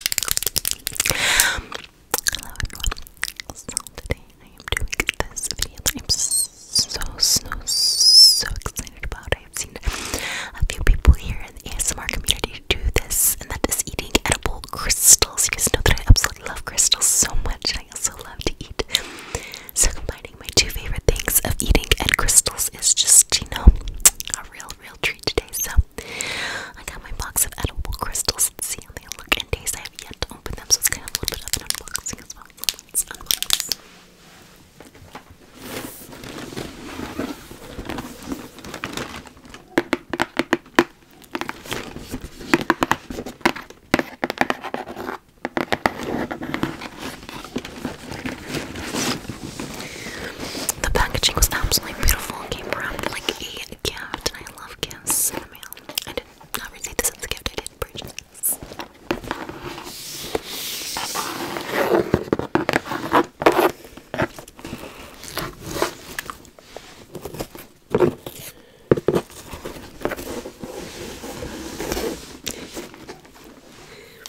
Hello everyone. So today I am doing this video that I'm so so so excited about. I've seen a few people here in the ASMR community do this, and that is eating edible crystals. You guys know that I absolutely love crystals so much. I also love to eat. So combining my two favorite things of eating and crystals is just, you know, a real real, treat today. So I got my box of edible crystals. see how they look and taste. I have yet to open them, so it's kind of a little bit of an unboxing as well. Let's unbox. The packaging was absolutely beautiful and came wrapped like a gift. I love gifts the mail. I did not receive this as a gift, I did purchase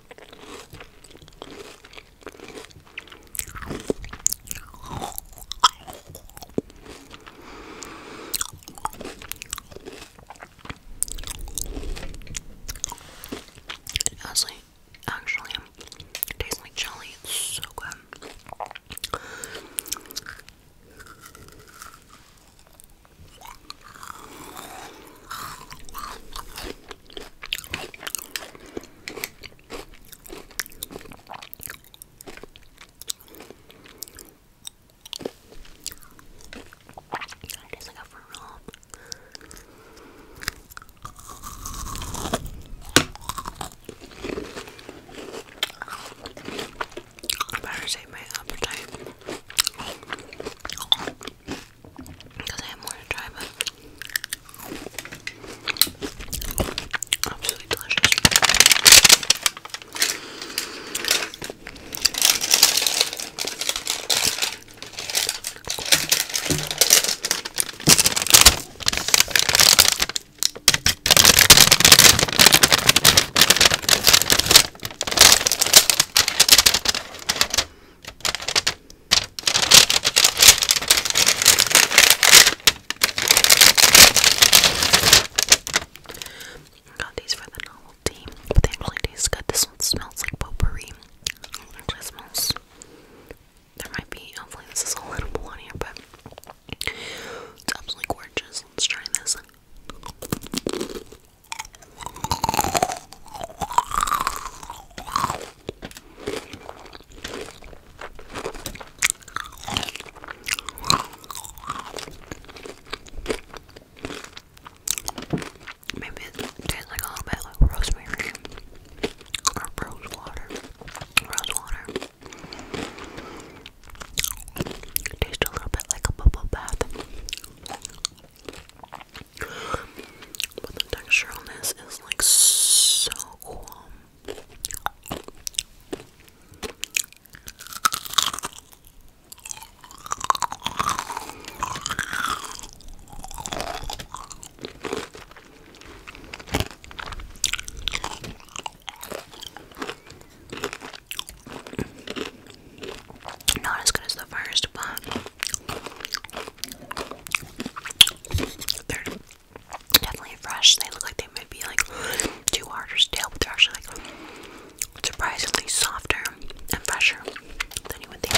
It honestly, actually, it tastes like jelly. It's so good. It tastes like a fruit roll. I better save my appetite because I have more to try, but absolutely delicious. Got these for the novelty, but they actually taste good. This one smells like potpourri. It actually smells. There might be, hopefully, this is a little on here, but it's absolutely gorgeous. Let's try this. Maybe it tastes like a little bit like rosemary or rose water. tastes a little bit like a bubble bath. But the texture on this is like so cool. Not as good as the first, but they're definitely fresh. They look like they might be like too hard or stale, but they're actually like surprisingly softer and fresher than you would think.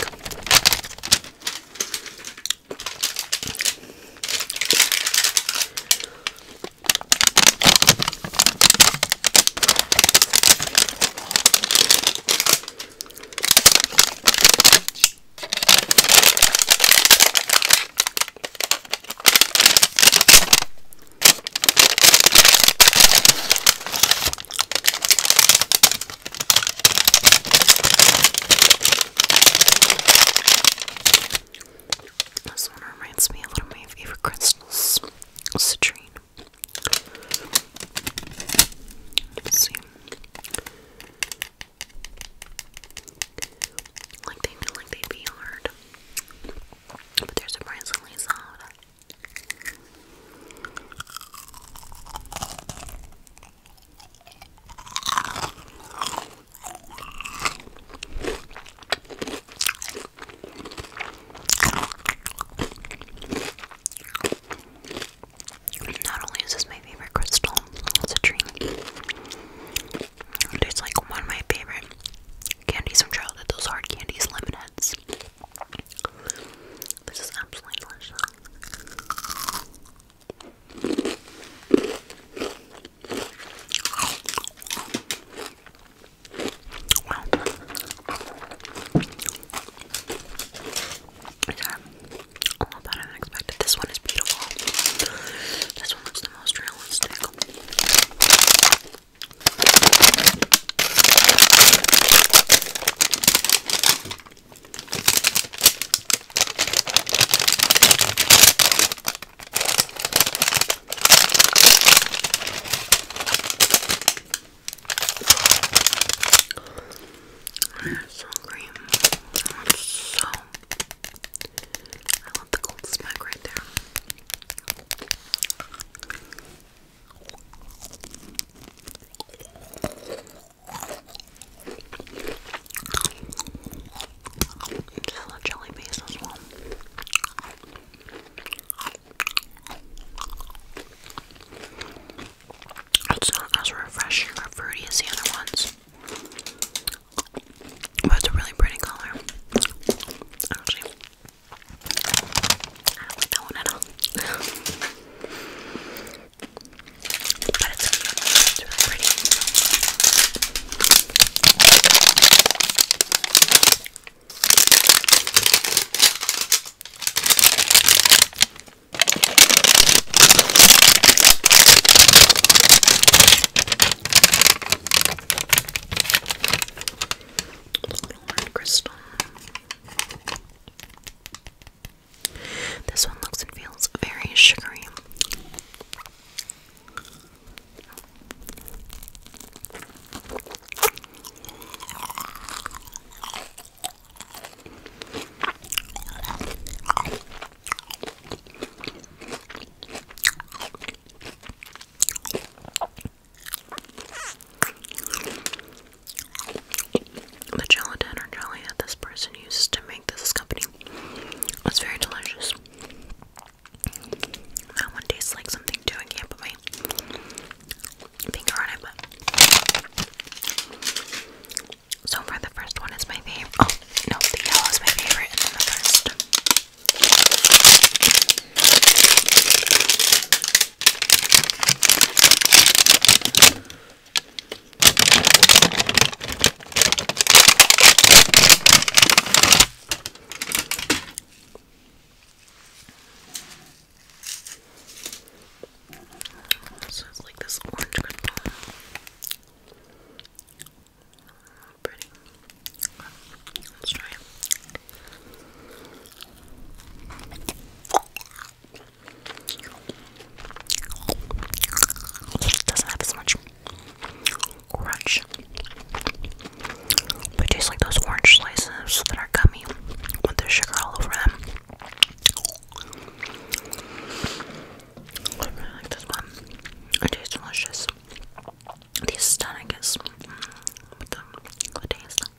This one reminds me a little of my favorite crystals, citrine see. Like they feel like they'd be hard, but they're surprisingly soft. Not only is this my favorite crystal, it's a dream. It's like one of my favorite candies from childhood, those hard candies, lemon heads. This is absolutely delicious. These are a lot This one is beautiful. This one looks the most realistic. So cream. so. I love the gold smack right there. Just a jelly base as well. It's not as refreshing or fruity as the other ones, but it's a really pretty color. Actually, I don't like but It's really pretty. Red crystal. This one looks and feels very sugary. The gelatin or jelly that this person uses to make this company was very delicious. That one tastes like something too. I finger on it, so far the first one is my favorite. Oh no, the yellow is my favorite, so it's like this orange cotton. Pretty. let it. Doesn't have as much crunch. It tastes like those orange slices that are gummy with the sugar all over them. I really like this one. It tastes delicious. These stunning is mm, with the, the taste.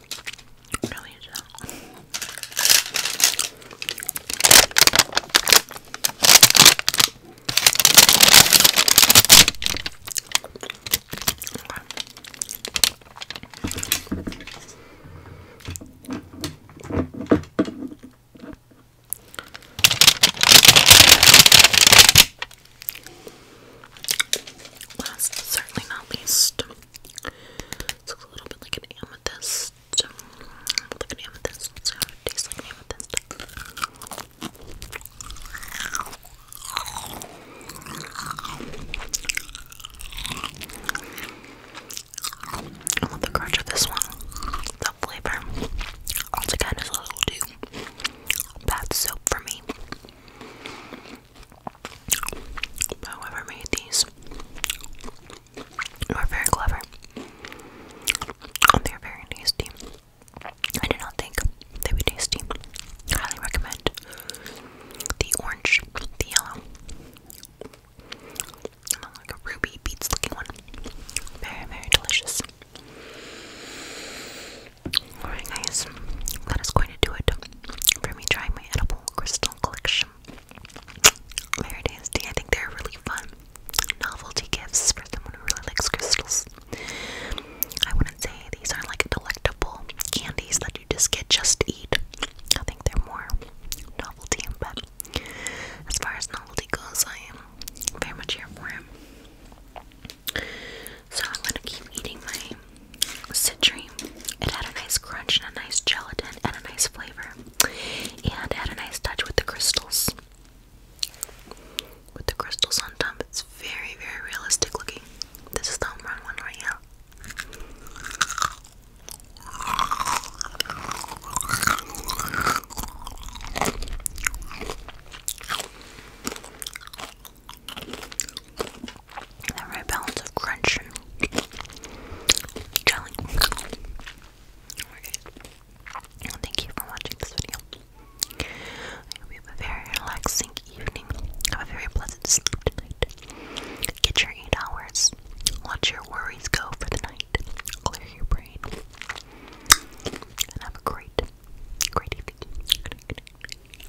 Really is Last certainly not least, it's a little bit like an amethyst. Like an amethyst. tastes like amethyst. I love the crunch of this one. The flavor, once again, is a little too bad soap for me. Whoever made these were very clever. They're very tasty. I do not think they would tasty. Highly recommend the orange, the yellow, and then like a ruby beets looking one. Very, very delicious. Alright guys, that is going to do it for me trying my edible crystal collection. Very I think they're really fun novelty gifts for someone who really likes crystals. I wouldn't say these are like delectable candies that you just get just to eat. I think they're more novelty, but as far as novelty goes, I am very much here for it. So I'm gonna keep eating my citrine. It had a nice crunch and a nice gelatin and a nice flavor. And had a nice touch with the crystals. With the crystals on top, it's very, very realistic looking. This is the home run one right now. The right balance of crunch and jelly. thank you for watching this video. have a very relaxing evening. Have a very pleasant sleep tonight. Get your eight hours. Let your worries go for the night. Clear your brain. And have a great, great evening.